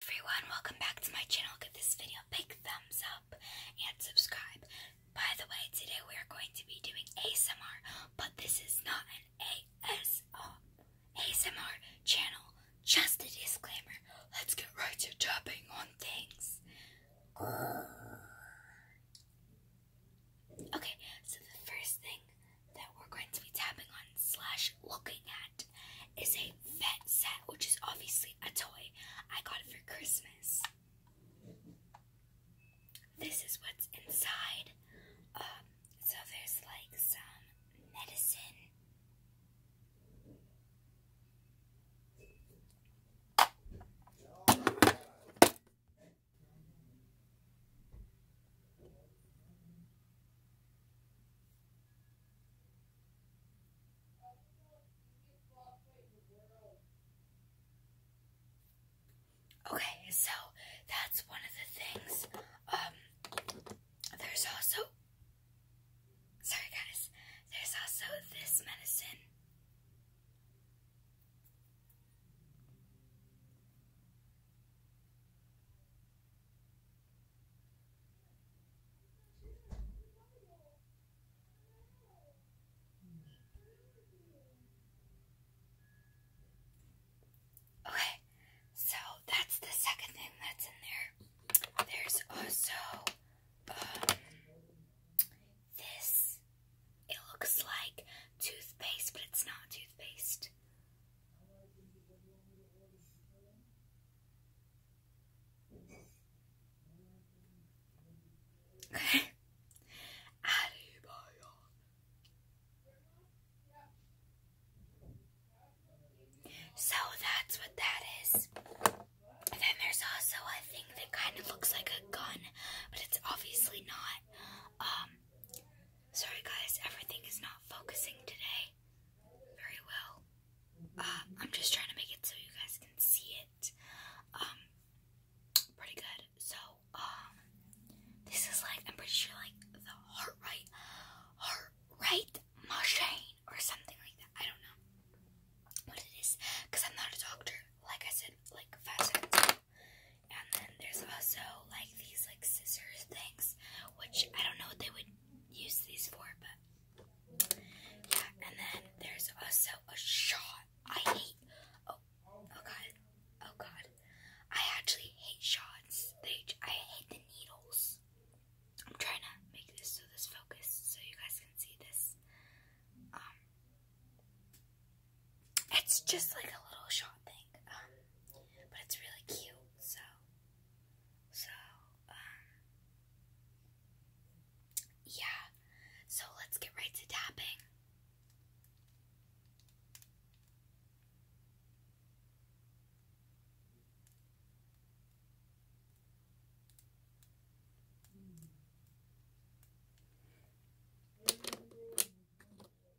everyone, welcome back to my channel. Give this video a big thumbs up and subscribe. By the way, today we are going to be doing ASMR, but this is not an ASMR, channel. Just a disclaimer. Let's get right to tapping on things. Okay, so the first thing that we're going to be tapping on slash looking at is a vet set, which is obviously a toy. I got it for Christmas. This is what's inside. Um, so there's like some medicine. Okay, so that's one of the things. Um, there's also, sorry guys, there's also this medicine. Okay, so that's the second thing that's in there. There's also um, this. It looks like toothpaste, but it's not toothpaste. Okay. So that's what that is. then there's also a thing that kind of looks like a gun, but it's obviously not. Um, Sorry guys, everything is not focusing today very well. Uh, I'm just trying to make it so you guys can see it. Um, pretty good. So, um, this is like, I'm pretty sure like the heart rate, heart rate machine or something like that. I don't know what it is because I'm not a doctor. Like I said, like five seconds and then there's also like these like scissors things, which I don't know what they would use these for, but yeah. And then there's also a shot. I hate. Oh, oh god, oh god. I actually hate shots. They. I hate the needles. I'm trying to make this so this focus so you guys can see this. Um. It's just like a little shot thing, um, but it's really cute, so, so, um, yeah, so let's get right to tapping.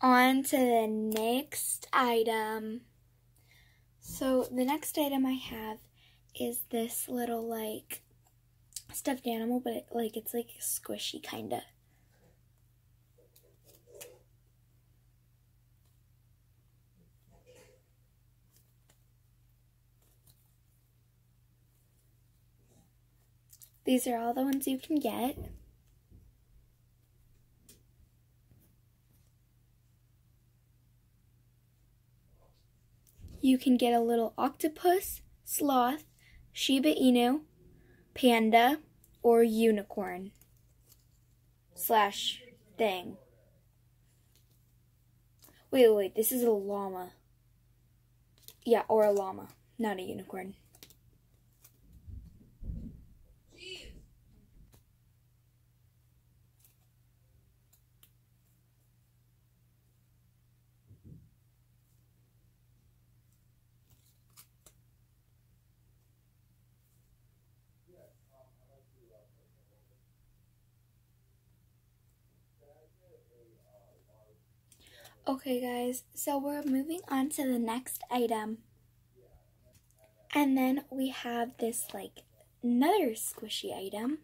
On to the next item. So the next item I have is this little like stuffed animal, but like it's like squishy kind of. These are all the ones you can get. You can get a little octopus, sloth, Shiba Inu, panda, or unicorn slash thing. Wait, wait, this is a llama. Yeah, or a llama, not a unicorn. Okay guys, so we're moving on to the next item. And then we have this like another squishy item.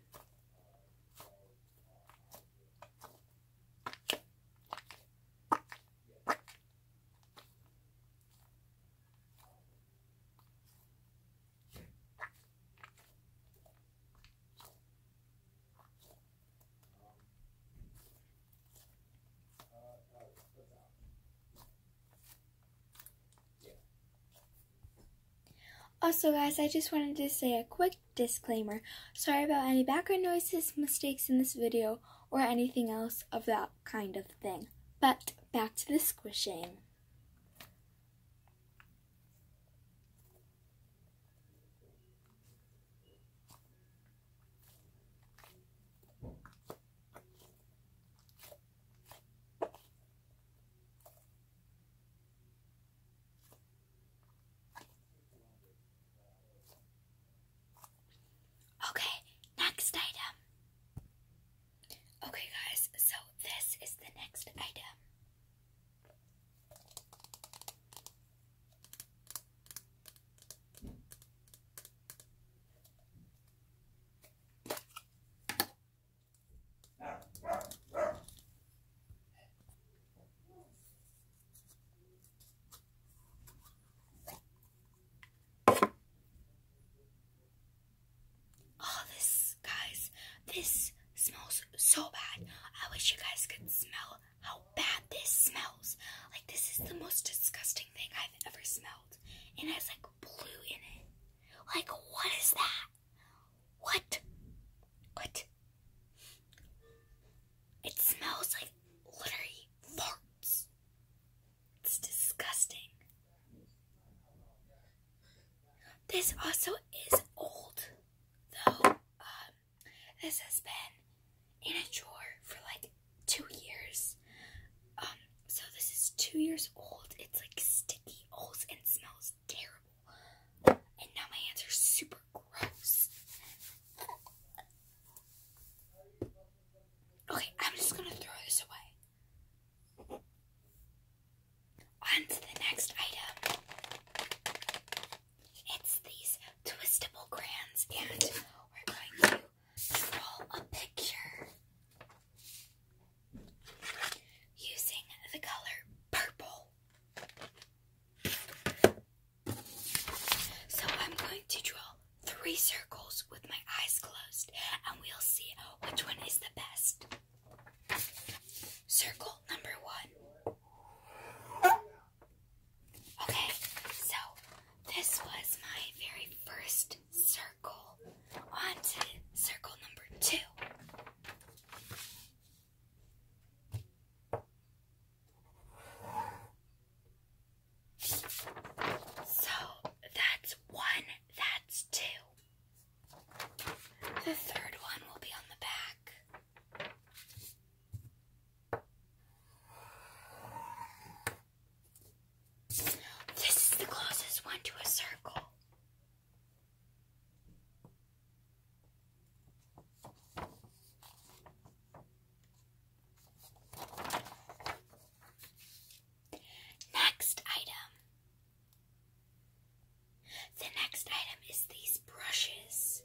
Also guys, I just wanted to say a quick disclaimer. Sorry about any background noises, mistakes in this video, or anything else of that kind of thing. But back to the squishing. Okay, next item. Okay, guys, so this is the next item. Oh, this, guys, this smells so bad. I wish you guys could smell how bad this smells. Like, this is the most disgusting thing I've ever smelled. It has, like, blue in it. Like, what is that? What? What? It smells like literally farts. It's disgusting. This also is old, though. Um, this has been in a drawer for like two years. Um, so this is two years old. It's like sticky holes and smells terrible. And now my hands are super gross. Okay, I'm just gonna throw this away. On to the next item. It's these twistable crayons, and we're going to draw a picture using the color purple. So I'm going to draw three circles with my eyes closed and we'll see which one is the best. Circle number one. Okay, so this was my very first circle. On to circle number two. So that's one, that's two. The third one will be on the back. This is the closest one to a circle. Next item. The next item is these brushes.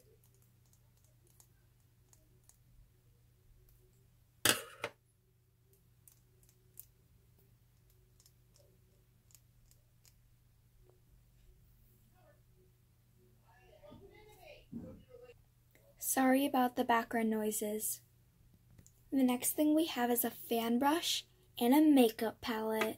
Sorry about the background noises. The next thing we have is a fan brush and a makeup palette.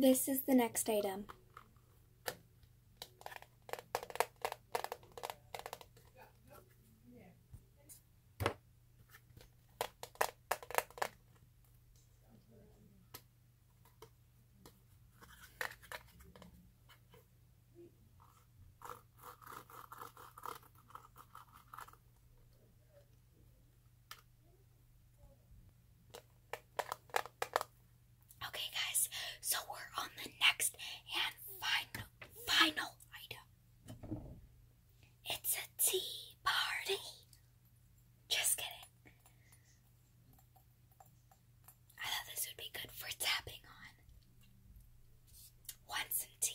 This is the next item. Okay guys, so we're on the next and final final item. It's a tea party. Just kidding. I thought this would be good for tapping on. Want some tea?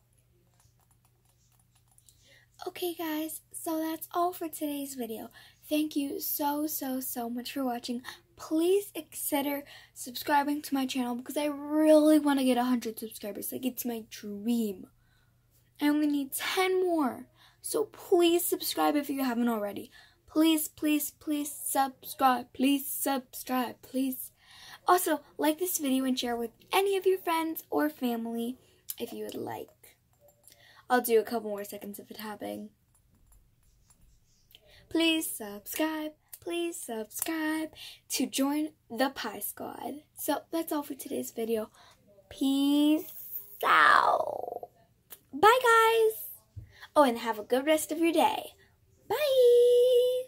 Okay guys, so that's all for today's video. Thank you so, so, so much for watching. Please consider subscribing to my channel because I really want to get 100 subscribers. Like, it's my dream. I only need 10 more. So please subscribe if you haven't already. Please, please, please subscribe. Please subscribe, please. Also, like this video and share with any of your friends or family if you would like. I'll do a couple more seconds of it tapping. Please subscribe, please subscribe to join the Pie Squad. So that's all for today's video. Peace out. Bye guys. Oh, and have a good rest of your day. Bye.